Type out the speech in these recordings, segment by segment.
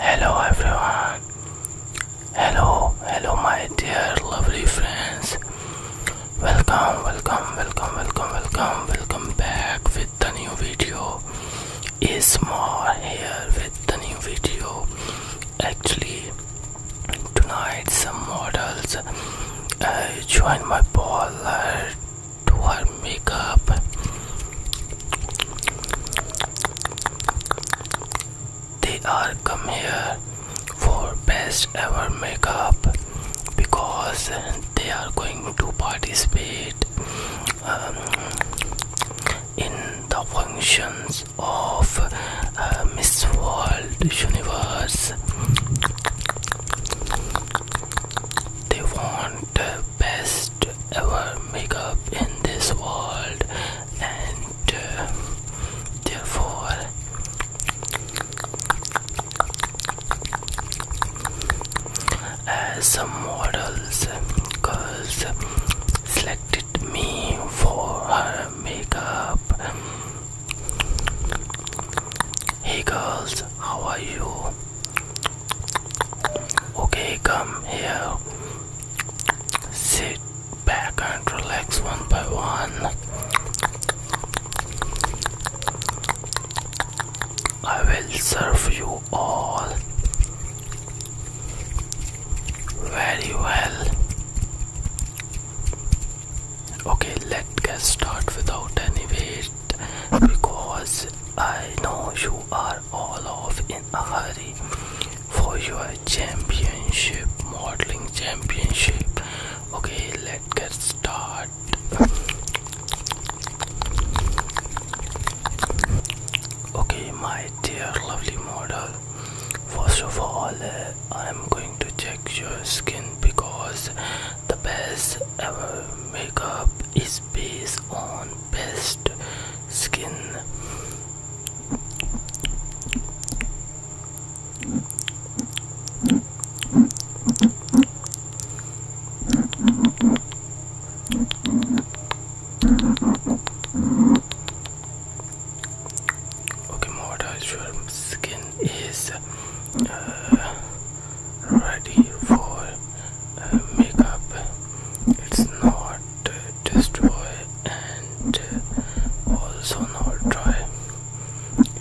Hello, everyone. Hello, hello, my dear lovely friends welcome welcome welcome welcome welcome welcome back with the new video is more here with the new video actually tonight some models uh, join my parlor to her makeup they are come here for best ever makeup because they are going to participate um, in the functions of uh, Miss World Universe. They want the best ever makeup in this world, and uh, therefore as uh, models, girls selected me for her makeup. Hey girls, how are you? Okay, come here. Sit back and relax one by one. I will serve you all very well. Okay, let's get started without any wait because I know you are all off in a hurry for your championship modeling championship Okay, let's get started. Okay, my dear lovely model. First of all, uh, I'm going to check your skin because the best ever makeup is based on best skin. Okay, my artificial skin is uh, ready for uh, makeup. It's not uh, and uh, also not dry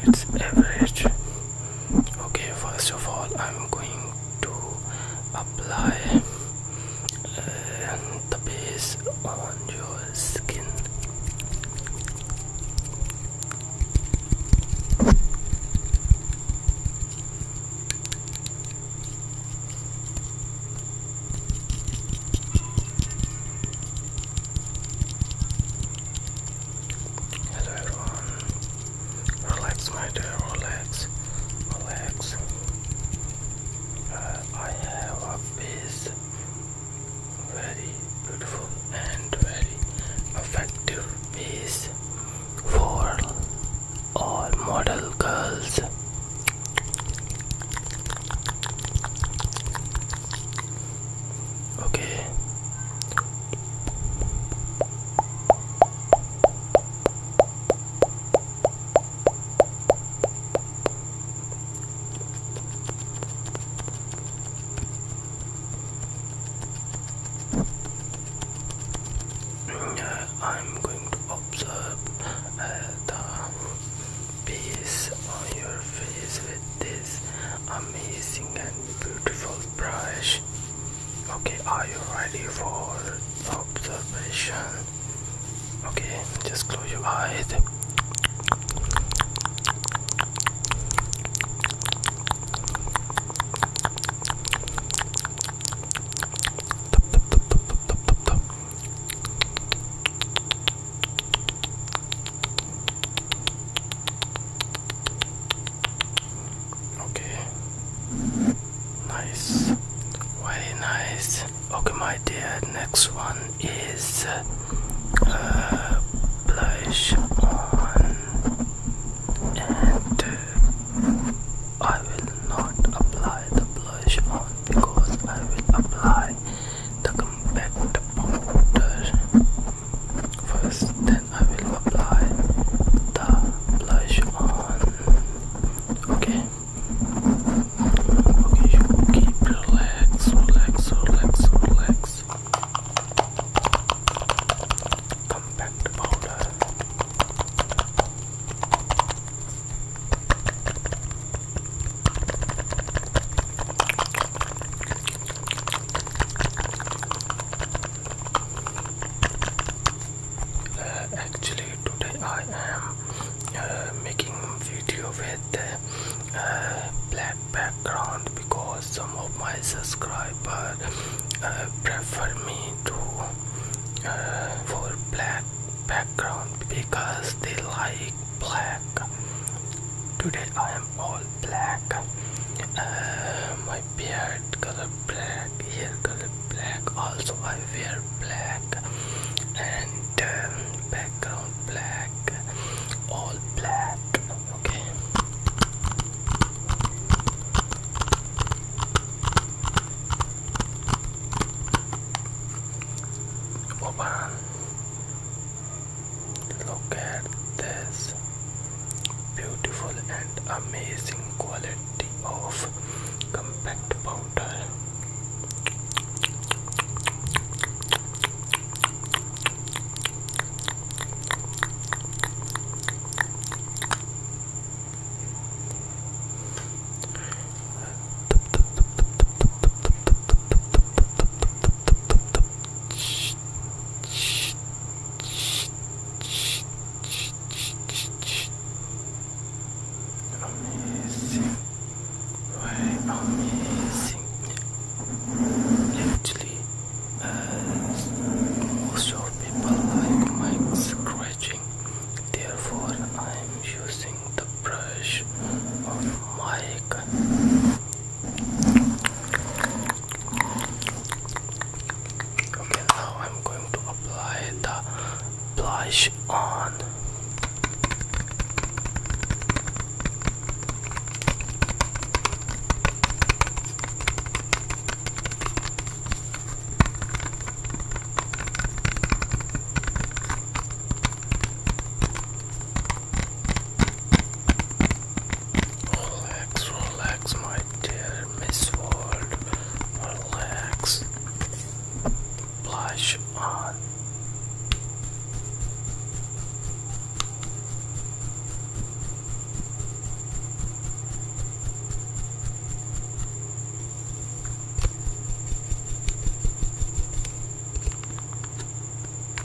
it's average okay first of all i'm going to apply uh, the base on your skin Hello everyone. Relax, my dear. Relax. Relax. Uh, I have a piece very beautiful and very effective piece for all model girls. Okay. Uh, I'm going to observe uh, the piece on your face this amazing and beautiful brush. Okay, are you ready for observation? Okay, just close your eyes. Okay. Nice. Very nice. Okay, my dear. Next one is uh, blush on, and uh, I will not apply the blush on because I will apply the compact powder. First, then I will apply the blush on. Okay. Okay, you keep relax, relax, relax, relax. Compact powder. Uh, actually, today I am uh, making video with uh, black background because some of my subscribers prefer me to uh, for black background because they like black Today I am all black. Uh, my beard color black, hair color black. Also I wear black and um, background black. All black. Okay. Opa. Look at this beautiful and amazing quality of compact powder. Amazing. Why amazing? Actually, most people like my scratching, therefore, I'm using the brush of mic Okay, now I'm going to apply the blush on. Relax, relax, my dear Miss World. Relax. Blush on.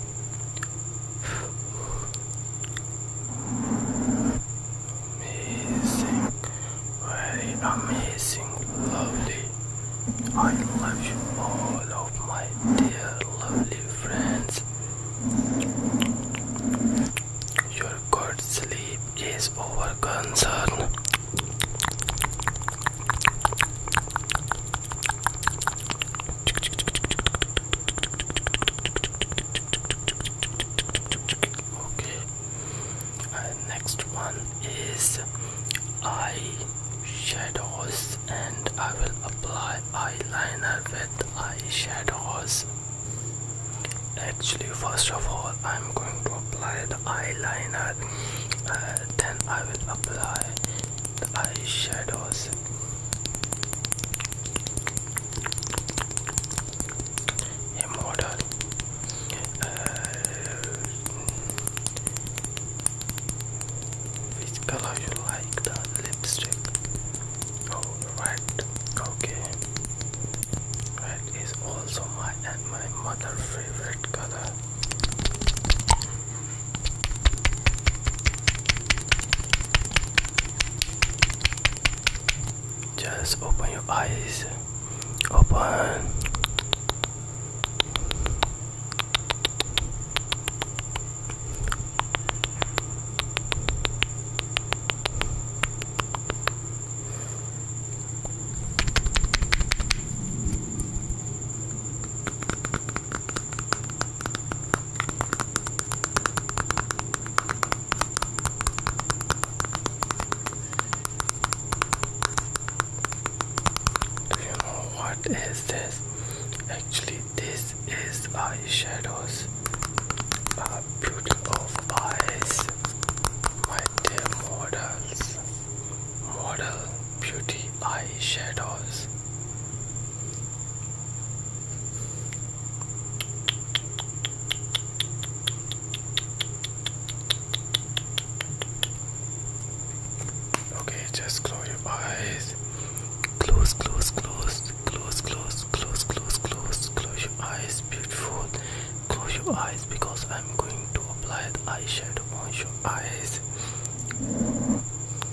Amazing, very amazing, lovely. I love you all of my dear lovely friends. Your good sleep is over concern. Okay. Uh, next one is eye shadows, and I will apply eyeliner with eye shadows. Actually, first of all, I'm going to apply the eyeliner, uh, then I will apply the eyeshadows a model uh, which color you like the lipstick oh red okay red is also my and my mother favorite color just open your eyes. Open. Do you know what is this? Actually, this is eyeshadows. A beauty of eyes, my dear models. Model Beauty Eyeshadows. Okay, just close your eyes. Close, close, close, close, close, close, close, close, close your eyes, beautiful. Close your eyes because I'm going to apply the eye eyeshadow on your eyes.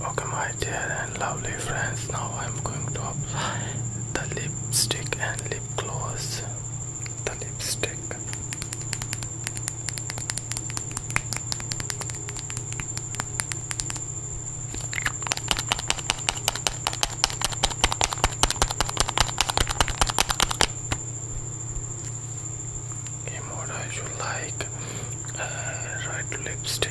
Okay, my dear and lovely friends, now I'm going to apply the lipstick and lip gloss. The lipstick. Okay, I should like uh, lipstick.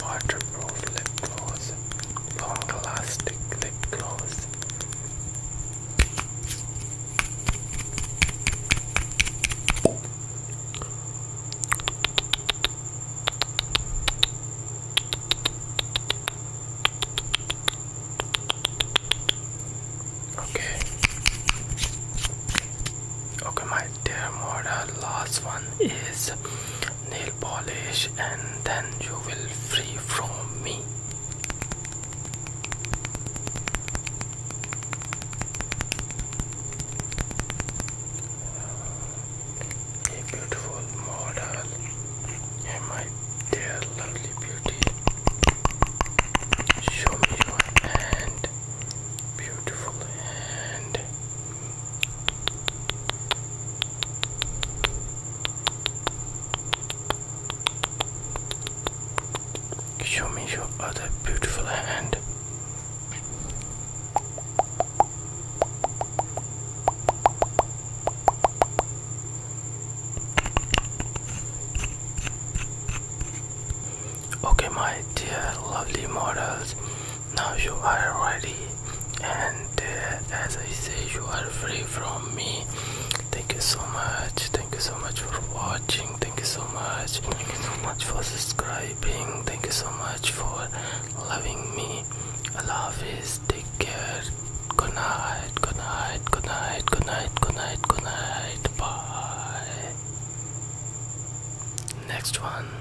Waterproof lip gloss, long lasting lip gloss. Okay. Okay, my that their last one is nail polish and then you will free from me a beautiful model and my dear lovely beauty show me your hand beautiful hand Show me your other beautiful hand. Okay, my dear lovely models, now you are ready and uh, as i say you are free from me thank you so much thank you so much for watching thank you so much thank you so much for subscribing thank you so much for loving me Love hafiz take care good night good night good night good night good night good night bye next one